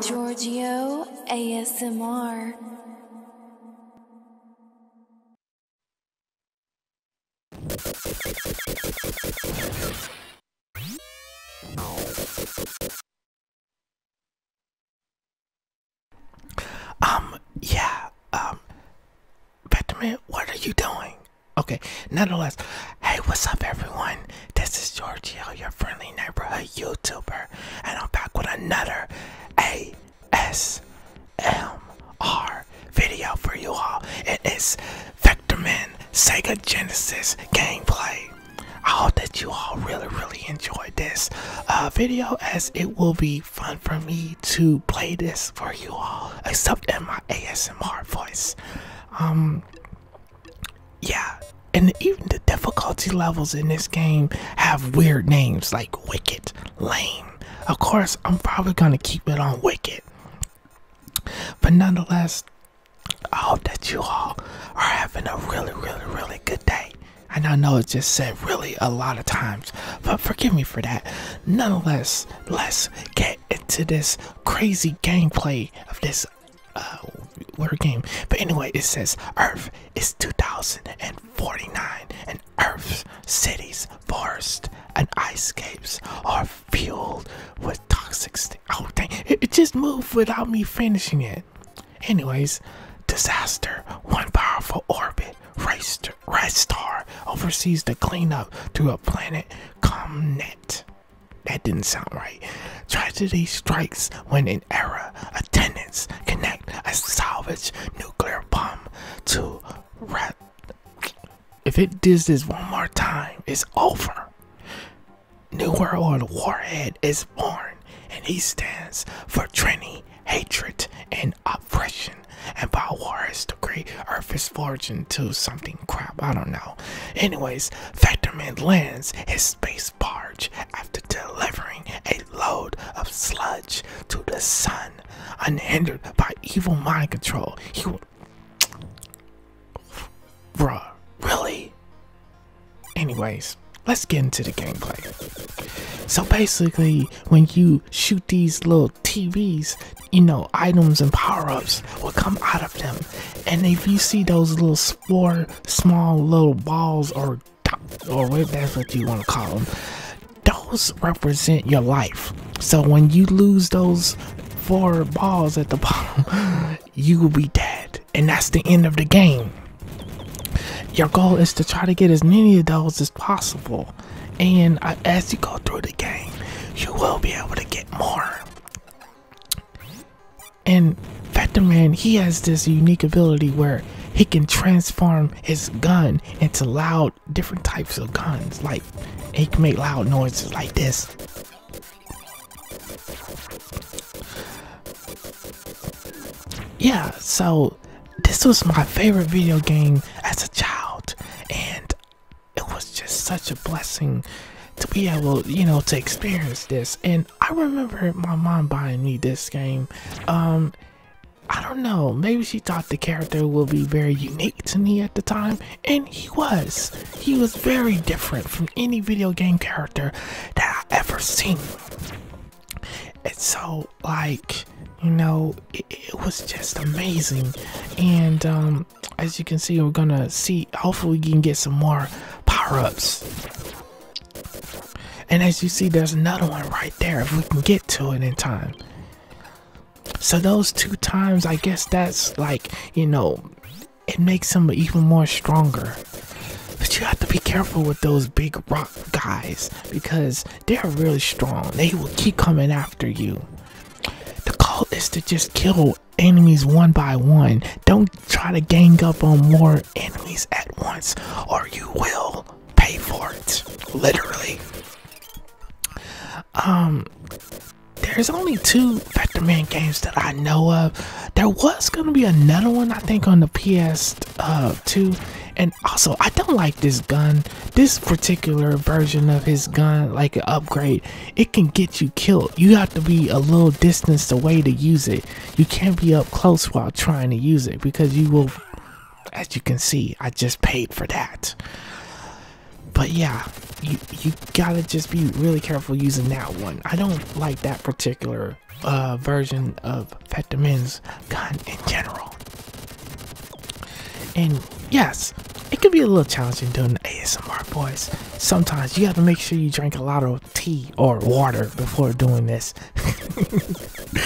Giorgio ASMR. Um, yeah, um, Bethany, what are you doing? Okay, nonetheless, Hey, what's up, everyone? This is Giorgio, your friendly neighborhood YouTuber, and I'm back with another ASMR video for you all. It is Vectorman Sega Genesis gameplay. I hope that you all really, really enjoyed this uh, video as it will be fun for me to play this for you all, except in my ASMR voice. Um, yeah and even the difficulty levels in this game have weird names like wicked lame of course i'm probably gonna keep it on wicked but nonetheless i hope that you all are having a really really really good day and i know it just said really a lot of times but forgive me for that nonetheless let's get into this crazy gameplay of this uh word game but anyway it says earth is 2049 and earth's cities forests and ice caves are fueled with toxic oh dang it, just moved without me finishing it anyways disaster one powerful orbit race to red star oversees clean up. to a planet come net. That didn't sound right. Tragedy strikes when an error. Attendants connect a salvage nuclear bomb to rat. If it does this one more time, it's over. New World Warhead is born, and he stands for Trinity, hatred, and oppression. And by war is to create Earth's fortune to something crap. I don't know. Anyways, Factorman lands his space barge after delivering a load of sludge to the sun. Unhindered by evil mind control, he would. Bruh, really? Anyways, let's get into the gameplay. So basically, when you shoot these little TVs, you know, items and power ups will come out of them. And if you see those little four small little balls or or whatever that's what you want to call them. Those represent your life. So when you lose those four balls at the bottom, you will be dead, and that's the end of the game. Your goal is to try to get as many of those as possible, and as you go through the game, you will be able to get more. And Factor Man, he has this unique ability where he can transform his gun into loud different types of guns. Like it can make loud noises like this. Yeah, so this was my favorite video game as a child and it was just such a blessing to be able, you know, to experience this. And I remember my mom buying me this game. Um, I don't know, maybe she thought the character will be very unique to me at the time, and he was. He was very different from any video game character that I ever seen. And so, like, you know, it, it was just amazing. And, um, as you can see, we're gonna see. Hopefully, we can get some more power ups. And as you see, there's another one right there if we can get to it in time. So those two times, I guess that's like, you know, it makes them even more stronger. But you have to be careful with those big rock guys because they're really strong. They will keep coming after you. The goal is to just kill enemies one by one. Don't try to gang up on more enemies at once, or you will pay for it. Literally. Um, there's only two Vector Man games that I know of. There was gonna be another one, I think, on the PS2. Uh, and also, I don't like this gun. This particular version of his gun, like an upgrade, it can get you killed. You have to be a little distance away to use it. You can't be up close while trying to use it because you will, as you can see, I just paid for that. But yeah, you, you gotta just be really careful using that one. I don't like that particular uh, version of Fetamin's gun in general. And yes, it can be a little challenging doing the ASMR voice, sometimes you have to make sure you drink a lot of tea or water before doing this.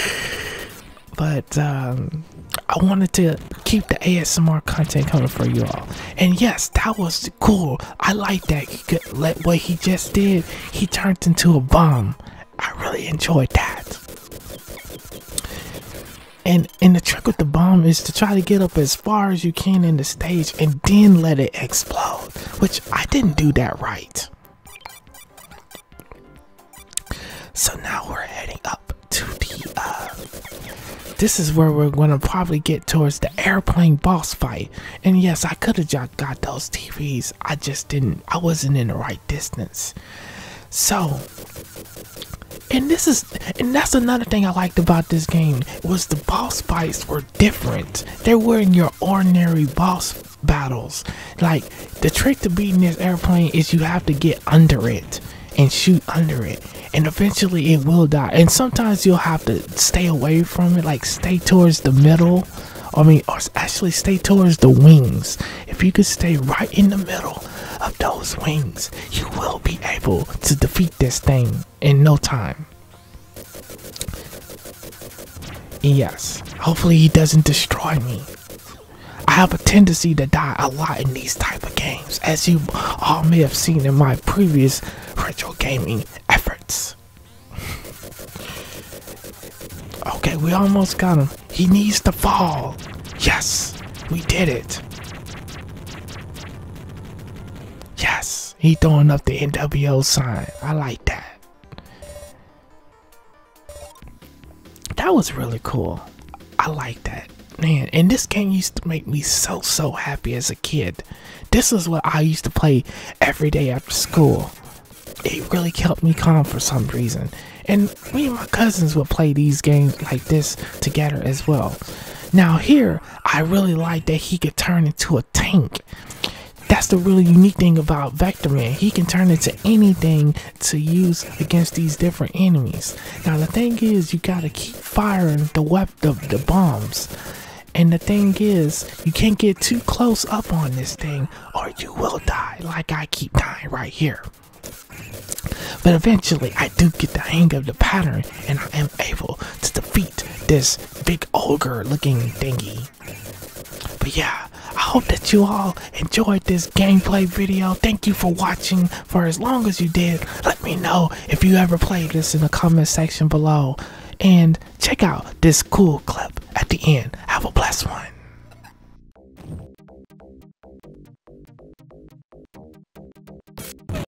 but um, I wanted to keep the ASMR content coming for you all. And yes, that was cool. I like that. what he just did. He turned into a bomb. I really enjoyed that. And and the trick with the bomb is to try to get up as far as you can in the stage and then let it explode, which I didn't do that right. So now we're heading up to the, uh, this is where we're gonna probably get towards the airplane boss fight. And yes, I could have just got those TVs. I just didn't, I wasn't in the right distance. So, and this is and that's another thing I liked about this game was the boss fights were different. They weren't your ordinary boss battles. Like the trick to beating this airplane is you have to get under it and shoot under it and eventually it will die and sometimes you'll have to stay away from it like stay towards the middle I mean or actually stay towards the wings if you could stay right in the middle of those wings you will be able to defeat this thing in no time Yes, hopefully he doesn't destroy me. I have a tendency to die a lot in these type of games, as you all may have seen in my previous retro gaming efforts. okay, we almost got him. He needs to fall. Yes, we did it. Yes he throwing up the NWO sign. I like that. That was really cool. I like that. Man, and this game used to make me so, so happy as a kid. This is what I used to play every day after school. It really kept me calm for some reason. And me and my cousins would play these games like this together as well. Now here, I really like that he could turn into a tank. That's the really unique thing about Vector Man. He can turn into anything to use against these different enemies. Now the thing is, you gotta keep firing the web the, the bombs. And the thing is, you can't get too close up on this thing or you will die like I keep dying right here. But eventually I do get the hang of the pattern and I am able to defeat this big ogre looking thingy. But yeah, I hope that you all enjoyed this gameplay video. Thank you for watching for as long as you did. Let me know if you ever played this in the comment section below. And check out this cool clip at the end. Have a blessed one.